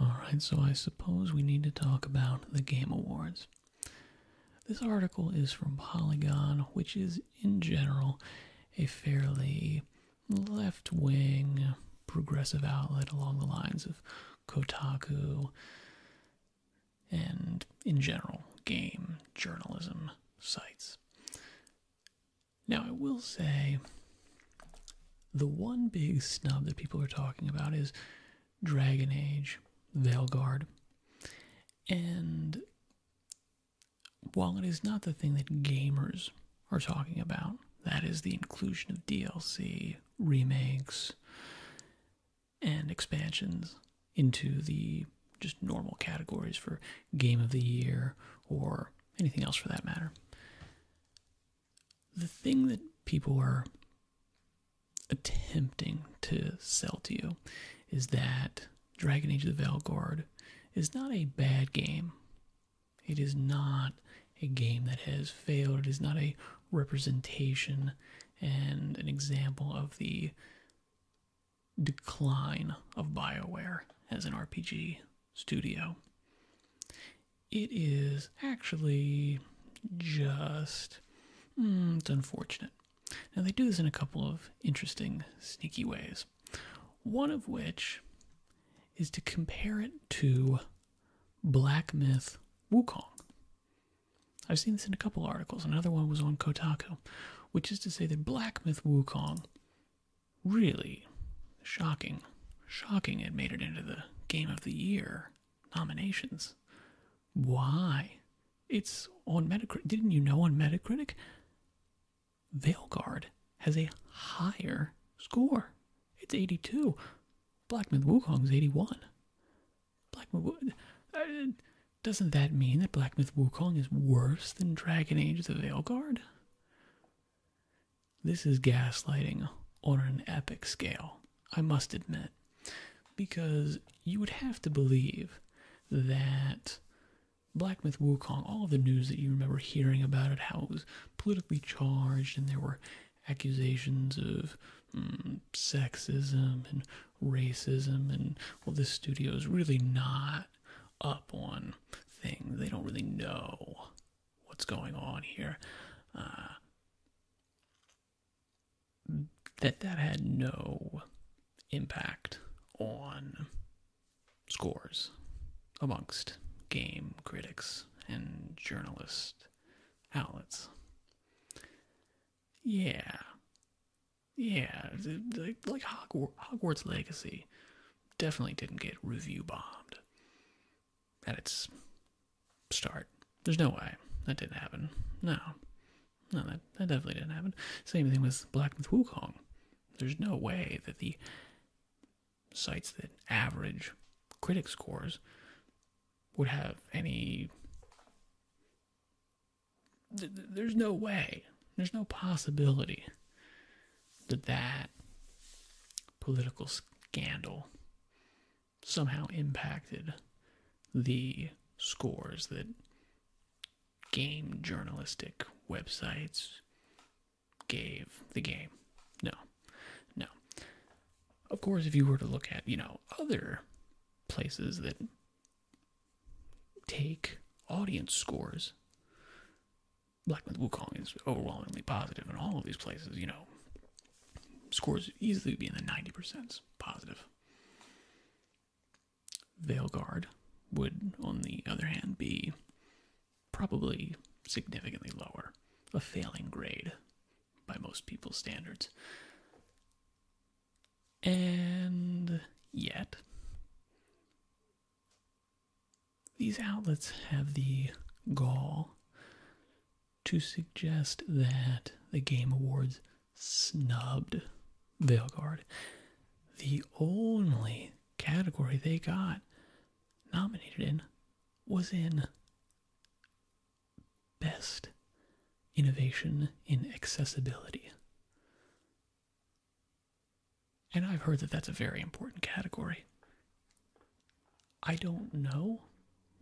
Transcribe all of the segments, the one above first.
Alright, so I suppose we need to talk about the Game Awards. This article is from Polygon, which is in general a fairly left wing progressive outlet along the lines of Kotaku and, in general, game journalism sites. Now, I will say the one big snub that people are talking about is Dragon Age, Veilguard. And while it is not the thing that gamers are talking about, that is the inclusion of DLC, remakes, and expansions into the just normal categories for Game of the Year or anything else for that matter the thing that people are attempting to sell to you is that Dragon Age the Valgord is not a bad game. It is not a game that has failed. It is not a representation and an example of the decline of BioWare as an RPG studio it is actually just hmm, it's unfortunate. Now they do this in a couple of interesting, sneaky ways. One of which is to compare it to Black Myth Wukong. I've seen this in a couple articles. Another one was on Kotaku, which is to say that Black Myth Wukong really shocking, shocking it made it into the game of the year nominations. Why? It's on Metacritic. Didn't you know on Metacritic? Veilguard has a higher score. It's 82. Blackman Wukong's 81. Blackman uh, doesn't that mean that Black Myth Wukong is worse than Dragon Age the Veilguard? This is gaslighting on an epic scale, I must admit, because you would have to believe that Black Myth Wukong, all the news that you remember hearing about it, how it was politically charged and there were accusations of mm, sexism and racism, and well, this studio is really not up on things. They don't really know what's going on here. Uh, that that had no impact on scores amongst game critics and journalist outlets. Yeah. Yeah, like, like Hogwarts Legacy definitely didn't get review bombed at its start. There's no way that didn't happen. No, no, that, definitely didn't happen. Same thing with Black Myth Wukong. There's no way that the sites that average critic scores would have any. There's no way, there's no possibility that that political scandal somehow impacted the scores that game journalistic websites gave the game. No. No. Of course, if you were to look at, you know, other places that take audience scores, Black Myth Wukong is overwhelmingly positive in all of these places, you know, Scores easily be in the 90% positive. Veilguard would, on the other hand, be probably significantly lower, a failing grade by most people's standards. And yet, these outlets have the gall to suggest that the Game Awards snubbed Veilguard. The only category they got nominated in was in Best Innovation in Accessibility. And I've heard that that's a very important category. I don't know.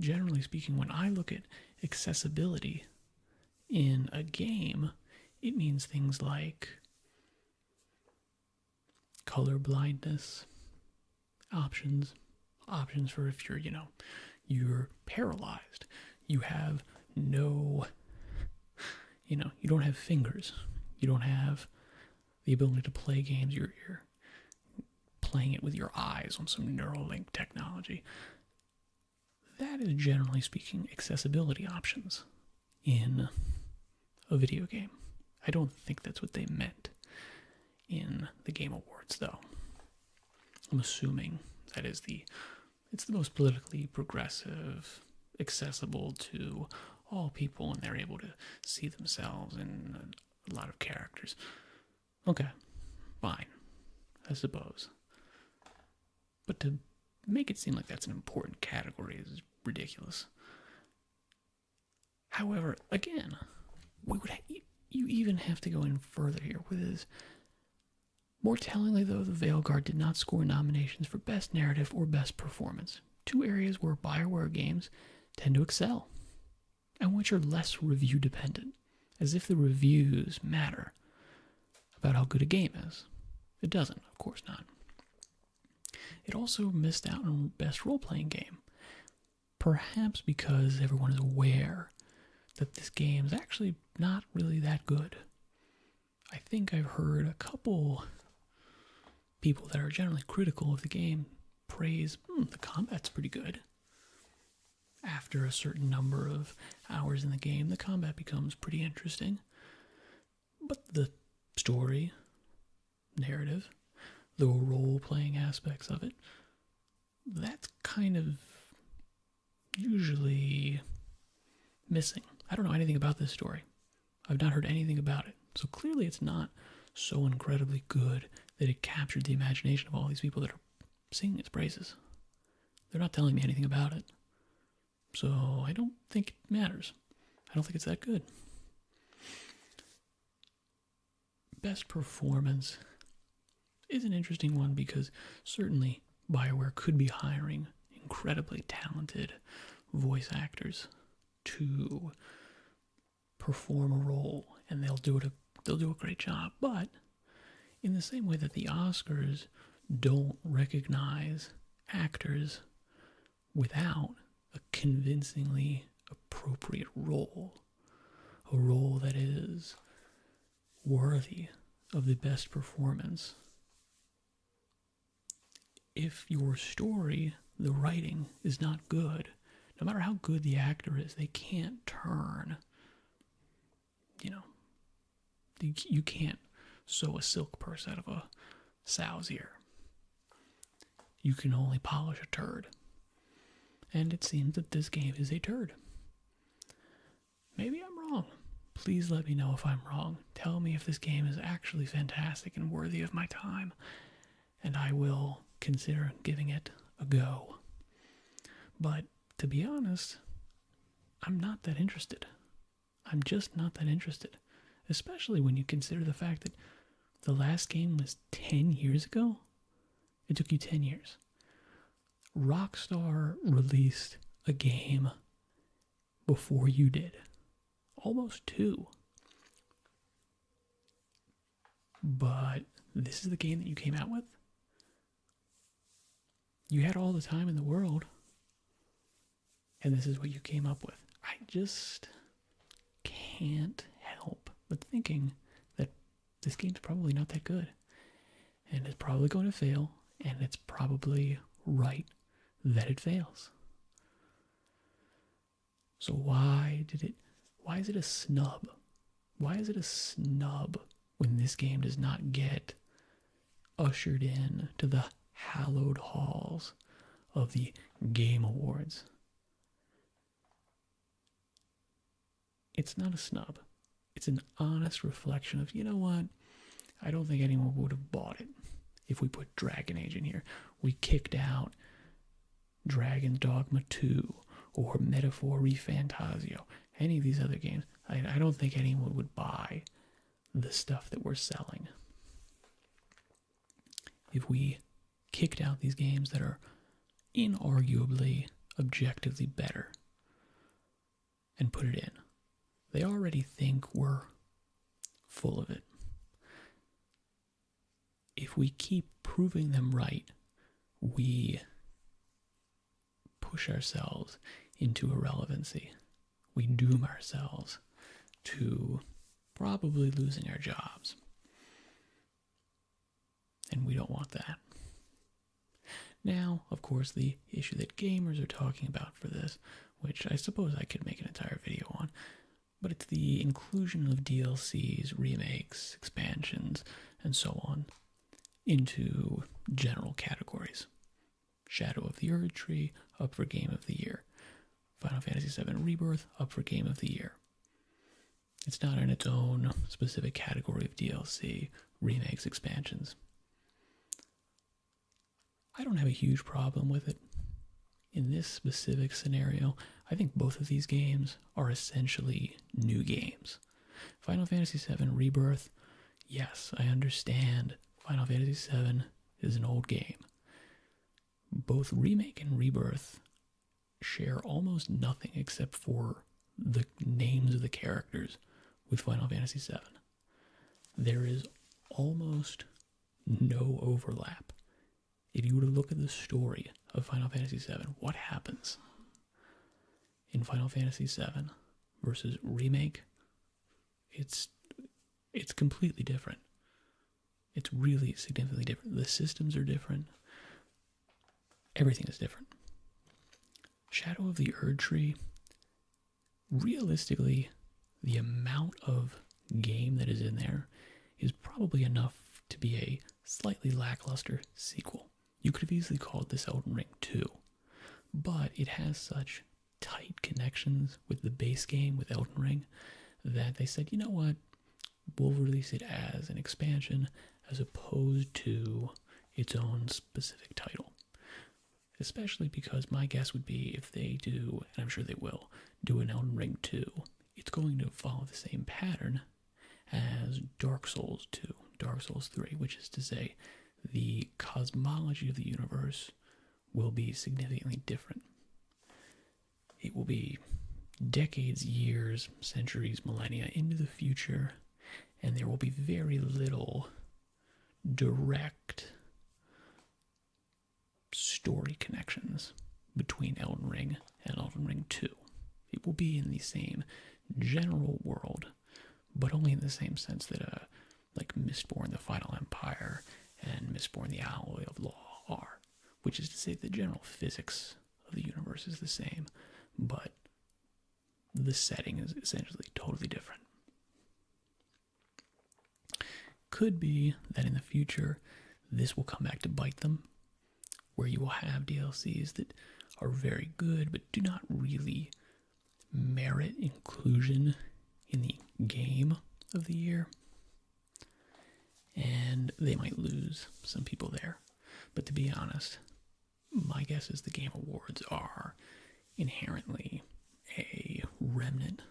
Generally speaking, when I look at accessibility in a game, it means things like color blindness, options, options for if you're, you know, you're paralyzed, you have no, you know, you don't have fingers, you don't have the ability to play games, Your ear playing it with your eyes on some Neuralink technology. That is generally speaking accessibility options in a video game. I don't think that's what they meant in the Game Awards, though. I'm assuming that is the it's the most politically progressive, accessible to all people, and they're able to see themselves in a lot of characters. Okay, fine, I suppose. But to make it seem like that's an important category is ridiculous. However, again, we would you, you even have to go in further here with this. More tellingly, though, the Veil Guard did not score nominations for Best Narrative or Best Performance, two areas where Bioware games tend to excel and which are less review dependent, as if the reviews matter about how good a game is. It doesn't, of course not. It also missed out on best role playing game, perhaps because everyone is aware that this game is actually not really that good. I think I've heard a couple people that are generally critical of the game praise hmm, the combat's pretty good after a certain number of hours in the game, the combat becomes pretty interesting. But the story, narrative, the role playing aspects of it, that's kind of usually missing. I don't know anything about this story. I've not heard anything about it. So clearly, it's not so incredibly good that it captured the imagination of all these people that are singing its praises. They're not telling me anything about it. So I don't think it matters. I don't think it's that good. Best performance is an interesting one because certainly Bioware could be hiring incredibly talented voice actors to perform a role and they'll do it they'll do a great job but in the same way that the Oscars don't recognize actors without a convincingly appropriate role a role that is worthy of the best performance if your story the writing is not good no matter how good the actor is they can't turn you know, you, can't sew a silk purse out of a sow's ear. You can only polish a turd. And it seems that this game is a turd. Maybe I'm wrong. Please let me know if I'm wrong. Tell me if this game is actually fantastic and worthy of my time, and I will consider giving it a go. But to be honest, I'm not that interested. I'm just not that interested, especially when you consider the fact that the last game was 10 years ago. It took you 10 years. Rockstar released a game before you did, almost two. But this is the game that you came out with? You had all the time in the world, and this is what you came up with. I just can't help but thinking that this game's probably not that good, and it's probably going to fail, and it's probably right that it fails. So why did it why is it a snub why is it a snub when this game does not get ushered in to the hallowed halls of the Game Awards? It's not a snub. It's an honest reflection of, you know what? I don't think anyone would have bought it if we put Dragon Age in here. We kicked out Dragon Dogma 2 or Metaphor Refantasio any of these other games, I, don't think anyone would buy the stuff that we're selling. If we kicked out these games that are inarguably objectively better and put it in, they already think we're full of it. If we keep proving them right, we push ourselves into irrelevancy. We doom ourselves to probably losing our jobs. And we don't want that. Now, of course, the issue that gamers are talking about for this, which I suppose I could make an entire video on, but it's the inclusion of DLCs, remakes, expansions, and so on into general categories Shadow of the Ur Tree, up for Game of the Year. Final Fantasy VII Rebirth, up for Game of the Year. It's not in its own specific category of DLC, remakes, expansions. I don't have a huge problem with it. In this specific scenario, I think both of these games are essentially new games. Final Fantasy VII Rebirth, yes, I understand. Final Fantasy VII is an old game. Both Remake and Rebirth share almost nothing except for the names of the characters with Final Fantasy VII. There is almost no overlap. If you were to look at the story of Final Fantasy VII, what happens? in Final Fantasy VII versus remake, it's it's completely different. It's really significantly different. The systems are different. Everything is different. Shadow of the Erd Tree. Realistically, the amount of game that is in there is probably enough to be a slightly lackluster sequel. You could have easily called this Elden Ring 2, but it has such tight connections with the base game with Elden Ring that they said, you know what, we'll release it as an expansion as opposed to its own specific title. Especially because my guess would be if they do, and I'm sure they will, do an Elden Ring 2, it's going to follow the same pattern as Dark Souls 2, Dark Souls 3, which is to say, the cosmology of the universe will be significantly different. It will be decades, years, centuries, millennia into the future, and there will be very little direct story connections between Elden Ring and Elden Ring 2. It will be in the same general world but only in the same sense that uh, like Mistborn, the Final Empire, and Mistborn, the Alloy of Law are, which is to say the general physics of the universe is the same, but the setting is essentially totally different. Could be that in the future this will come back to bite them, where you will have DLCs that are very good but do not really merit inclusion in the game of the year. And they might lose some people there. But to be honest, my guess is the Game Awards are inherently a remnant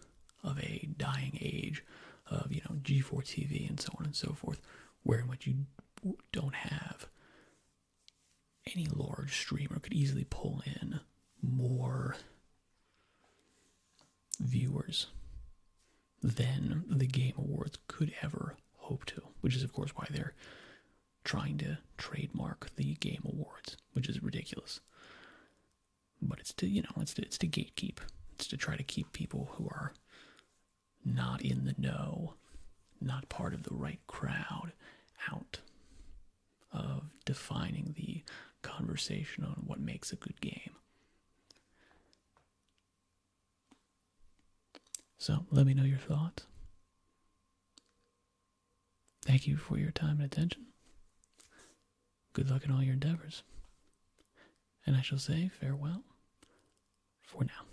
of a dying age of, you know, G4 TV and so on and so forth, where in which you don't have any large streamer could easily pull in more viewers than the Game Awards could ever hope to, which is, of course, why they're trying to trademark the Game Awards, which is ridiculous. But it's to, you know, it's to, it's to gatekeep. It's to try to keep people who are not in the know, not part of the right crowd, out of defining the conversation on what makes a good game. So let me know your thoughts. Thank you for your time and attention. Good luck in all your endeavors. And I shall say farewell for now.